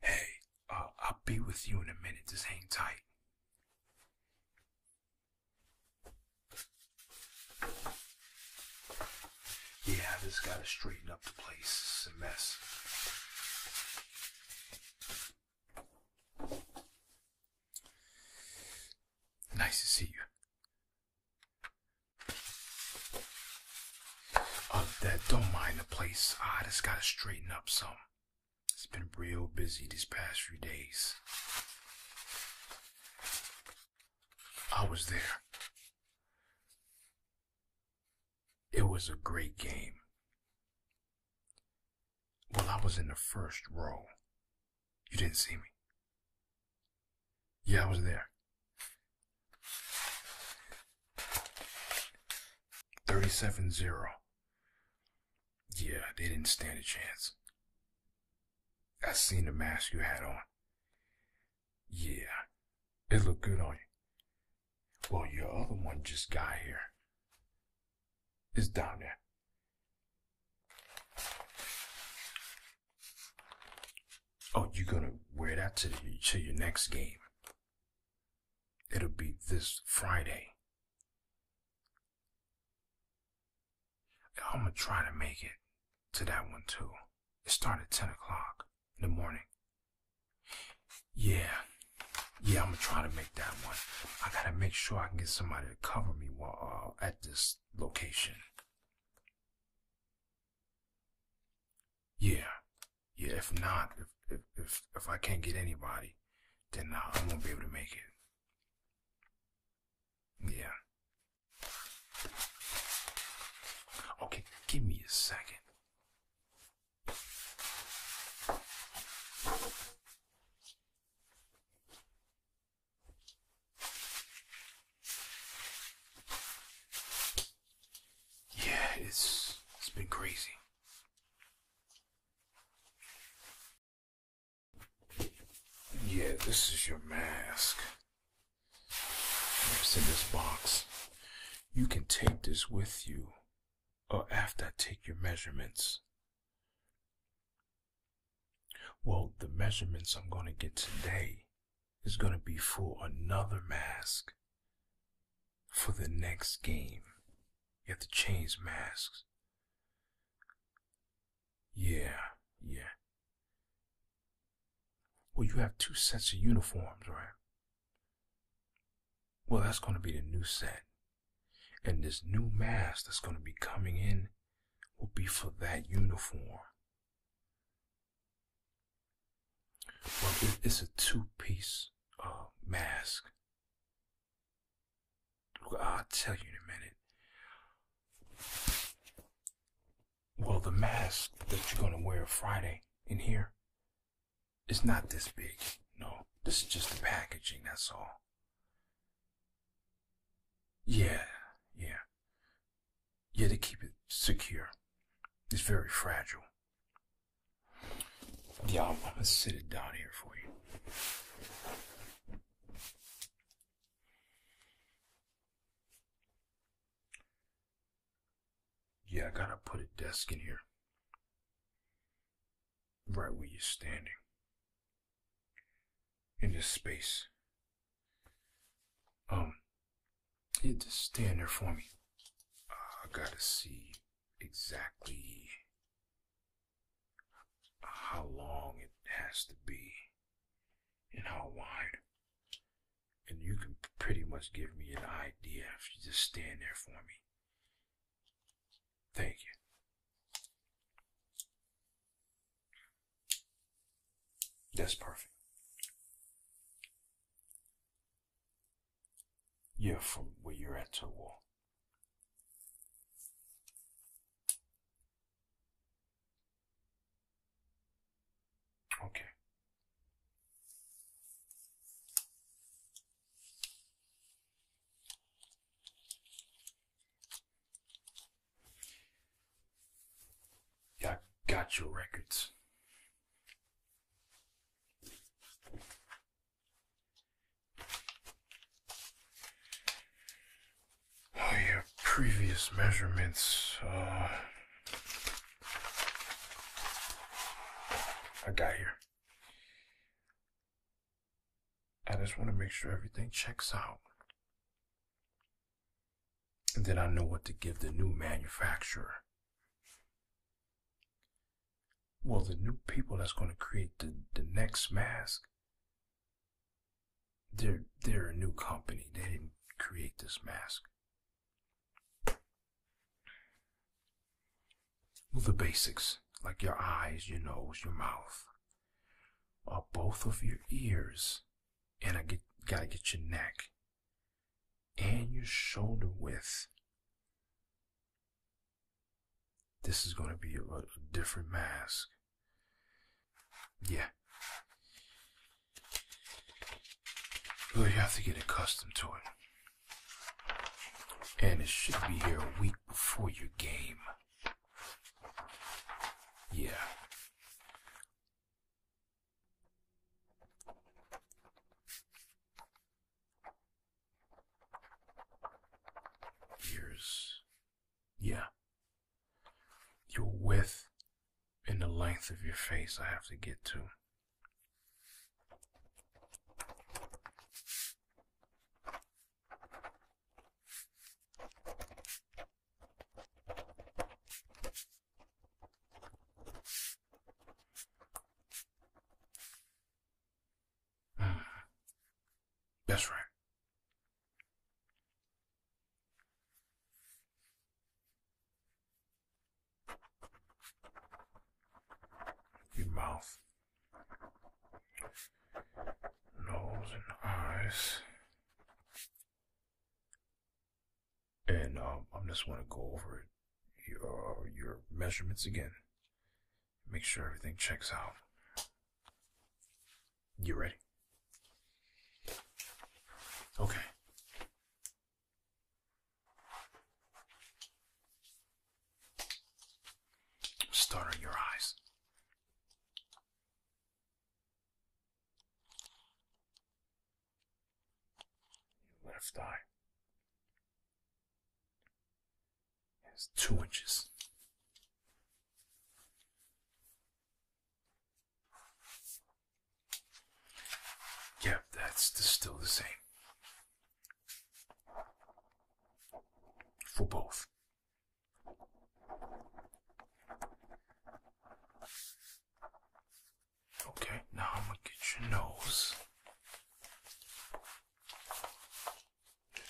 Hey, uh, I'll be with you in a minute. Just hang tight. Yeah, just gotta straighten up the place. It's a mess. Nice to see you. Other uh, than don't mind the place. I just gotta straighten up some. It's been real busy these past few days. I was there. It was a great game. Well, I was in the first row. You didn't see me. Yeah, I was there. Thirty-seven zero. Yeah, they didn't stand a chance. I seen the mask you had on. Yeah, it looked good on you. Well, your other one just got here. It's down there. Oh, you're gonna wear that to, your next game. It'll be this Friday. I'm gonna try to make it to that one too. It started at 10 o'clock in the morning. Yeah. Yeah, I'm gonna try to make that one. I gotta make sure I can get somebody to cover me while uh, at this location. Yeah, yeah. If not, if if if, I can't get anybody, then I uh, I won't be able to make it. Yeah. Okay, give me a second. Yeah, it's it's been crazy. Yeah, this is your mask. It's in this box. You can take this with you, or after I take your measurements. Well, the measurements I'm going to get today is going to be for another mask for the next game. You have to change masks. Yeah, yeah. Well, you have two sets of uniforms, right? Well, that's going to be the new set. And this new mask that's going to be coming in will be for that uniform. Well, it's a two-piece uh, mask. I'll tell you in a minute. Well, the mask that you're gonna wear Friday in here is not this big. No, this is just the packaging. That's all. Yeah, yeah. You had to keep it secure. It's very fragile. Yeah, I'm to sit it down here for you. Yeah, I gotta put a desk in here. Right where you're standing. In this space um, you just stand there for me. I gotta see exactly how long it has to be and how wide. And you can pretty much give me an idea if you just stand there for me. Thank you. That's perfect. Yeah, from where you're at to the Okay. I got your records. Oh, your previous measurements. Uh, I got here. I just want to make sure everything checks out. Then I know what to give the new manufacturer. Well, the new people that's going to create the, the next mask, they're, they're a new company. They didn't create this mask. Well, the basics, like your eyes, your nose, your mouth, or uh, both of your ears, and I get, gotta get your neck and your shoulder width. This is going to be a, different mask. Yeah. But you have to get accustomed to it. And it should be here a week before your game. Yeah. Years. Yeah. Your width and the length of your face, I have to get to. That's right. Your mouth, nose, and eyes. And um, I'm just want to go over your, your measurements again. Make sure everything checks out. You ready? Okay. Start on your eyes. Your left eye is two inches. Yep, that's still the same for both. Okay, now I'm gonna get your nose.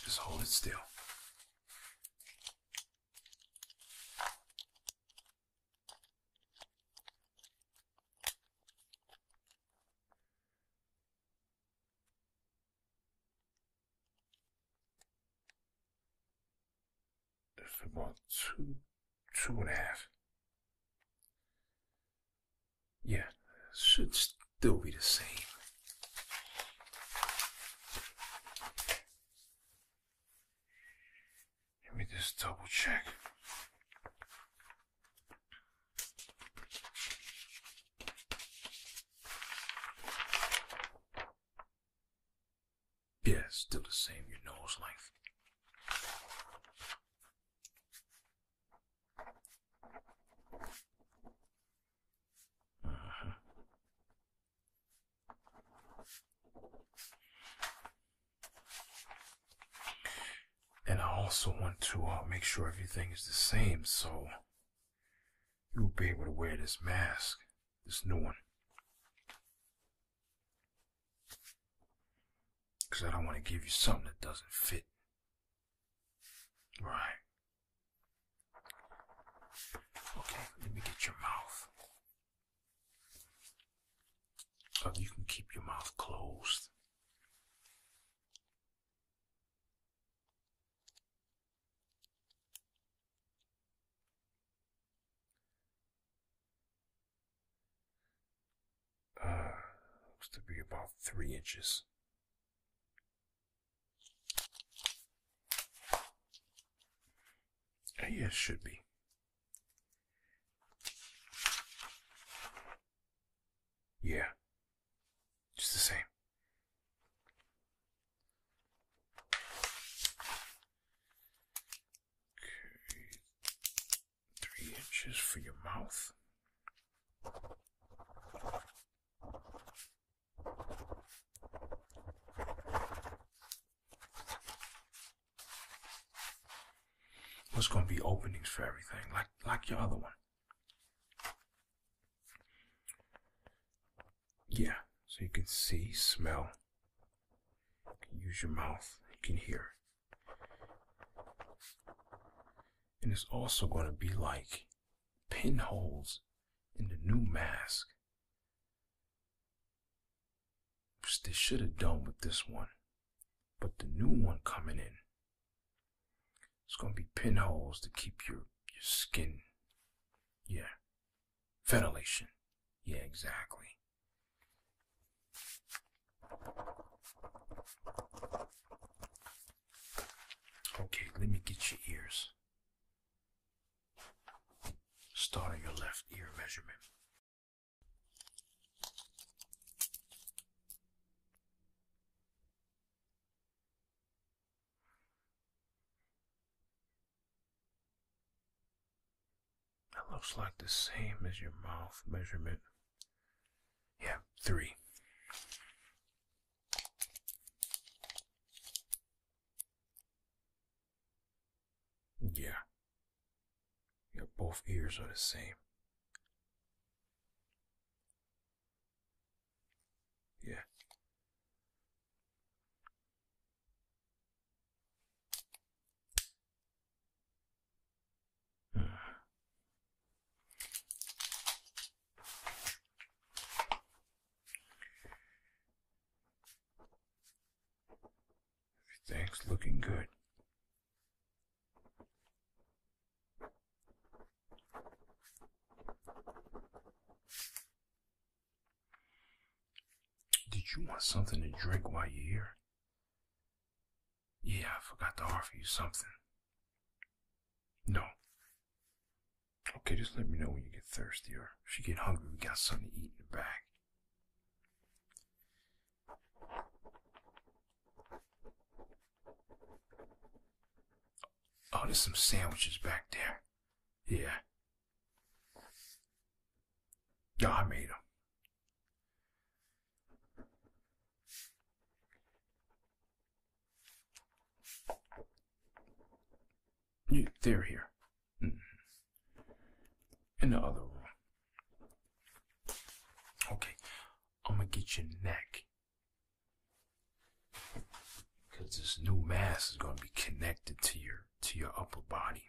Just hold it still for about two, two and a half. Yeah, should still be the same. Give me this double check. Yeah, still the same, your nose length. Uh uh-huh. And I also want to uh, make sure everything is the same, so you'll be able to wear this mask, this new one. Because I don't want to give you something that doesn't fit. Right. Okay, let me get your mouth. Oh, you can keep your mouth closed. Uh, looks to be about three inches. Yes, uh, yeah, should be. Yeah, just the same. Okay, three inches for your mouth. There's going to be openings for everything, like like your other one. Yeah, so you can see, smell, use your mouth, you can hear. And it's also going to be like pinholes in the new mask. they should have done with this one. But the new one coming in, it's going to be pinholes to keep your, your skin. Yeah. Ventilation. Yeah, exactly. Okay, let me get your ears. Start on your left ear measurement. That looks like the same as your mouth measurement. Yeah, three. Yeah. Yeah, both ears are the same. Yeah. Everything's looking good. Did you want something to drink while you're here? Yeah, I forgot to offer you something. No. Okay, just let me know when you get thirsty or if you get hungry, we got something to eat in the back. Oh, there's some sandwiches back there. Yeah. No, I made them they're here. Mm. In the other room. Okay, I'm gonna get your neck. Cause this new mask is gonna be connected to your to your upper body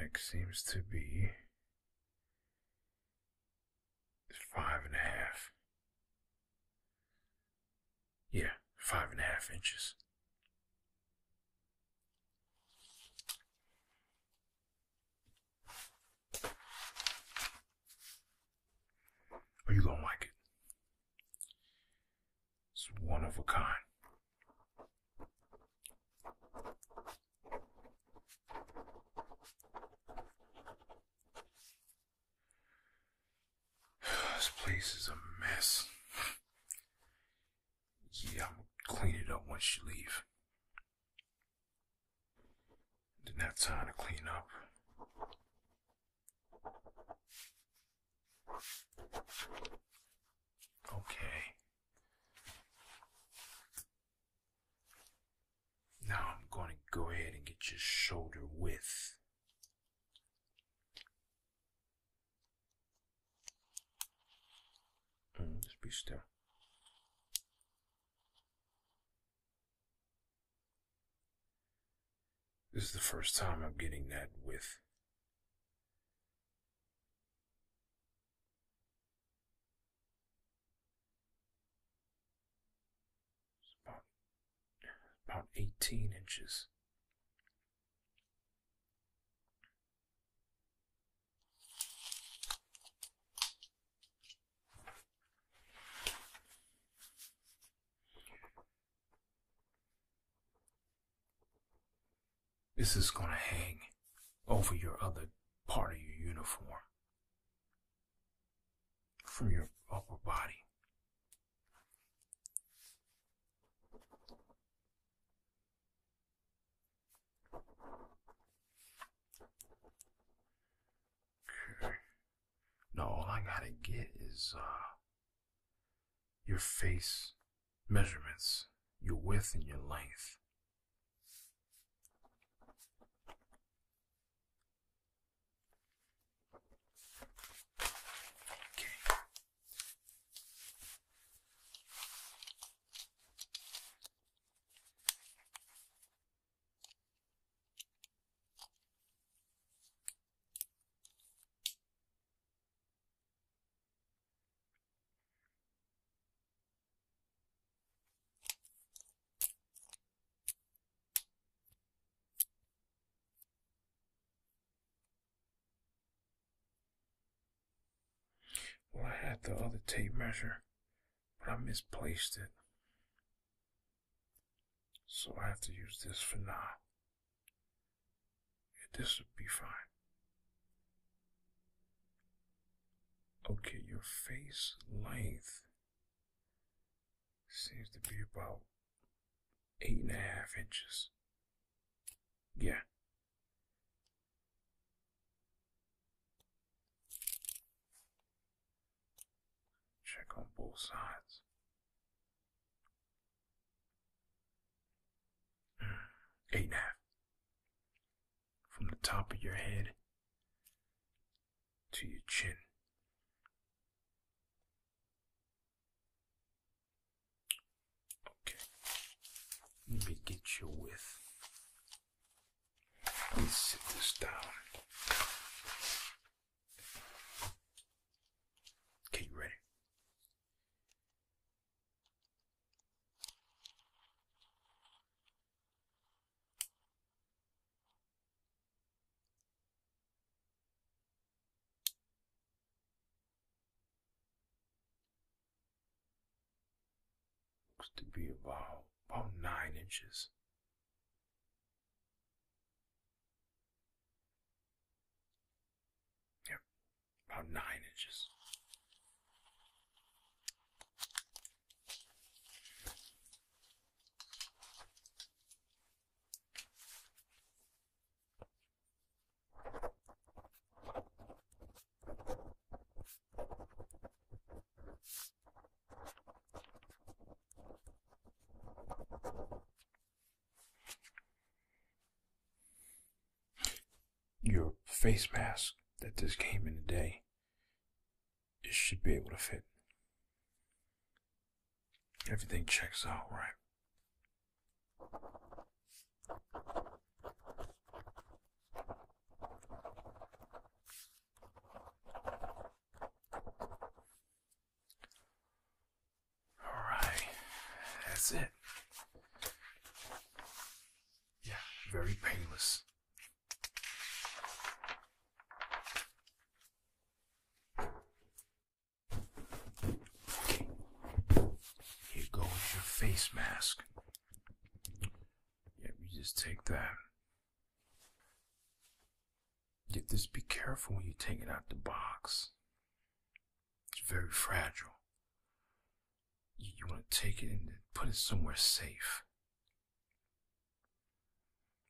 next seems to be five and a half. Yeah, five and a half inches. Are you going to like it. It's one of a kind. This place is a mess. Yeah, I'm gonna clean it up once you leave. Didn't have time to clean up. Okay. Now I'm going to go ahead and get your shoulder width. Mm, just be still. This is the first time I'm getting that with about, about 18 inches. This is going to hang over your other part of your uniform from your upper body. Okay. Now all I gotta get is uh your face measurements, your width and your length. Well, I had the other tape measure, but I misplaced it. So I have to use this for now. Yeah, this would be fine. Okay, your face length seems to be about eight and a half inches. Yeah. Check on both sides. Eight and a half. From the top of your head to your chin. Okay. Let me get you with. Let's sit this down. Okay, you ready? Looks to be about about nine inches. Yep, about nine inches. Your face mask that just came in today, it should be able to fit. Everything checks out right. Alright, that's it. Yeah, very painless. here goes your face mask. Yep, yeah, just take that. Yeah, just be careful when you take it out the box. It's very fragile. You, want to take it and put it somewhere safe.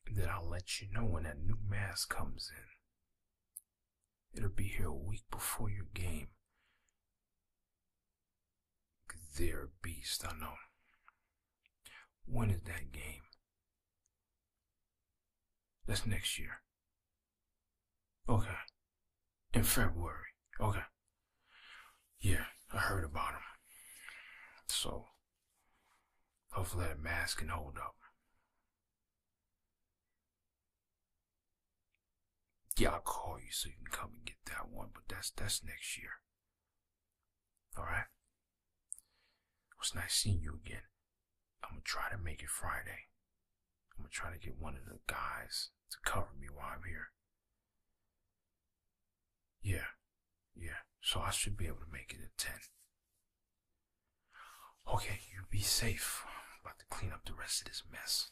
then I'll let you know when that new mask comes in. It'll be here a week before your game. because beast, I know. When is that game? That's next year. Okay. In February. Okay. Yeah, I heard about them. So, hopefully that mask can hold up. Yeah, I'll call you so you can come and get that one, but that's that's next year. Alright? It was nice seeing you again. I'm gonna try to make it Friday. I'm gonna try to get one of the guys to cover me while I'm here. Yeah, yeah. So I should be able to make it at 10. Okay, you be safe. I'm about to clean up the rest of this mess.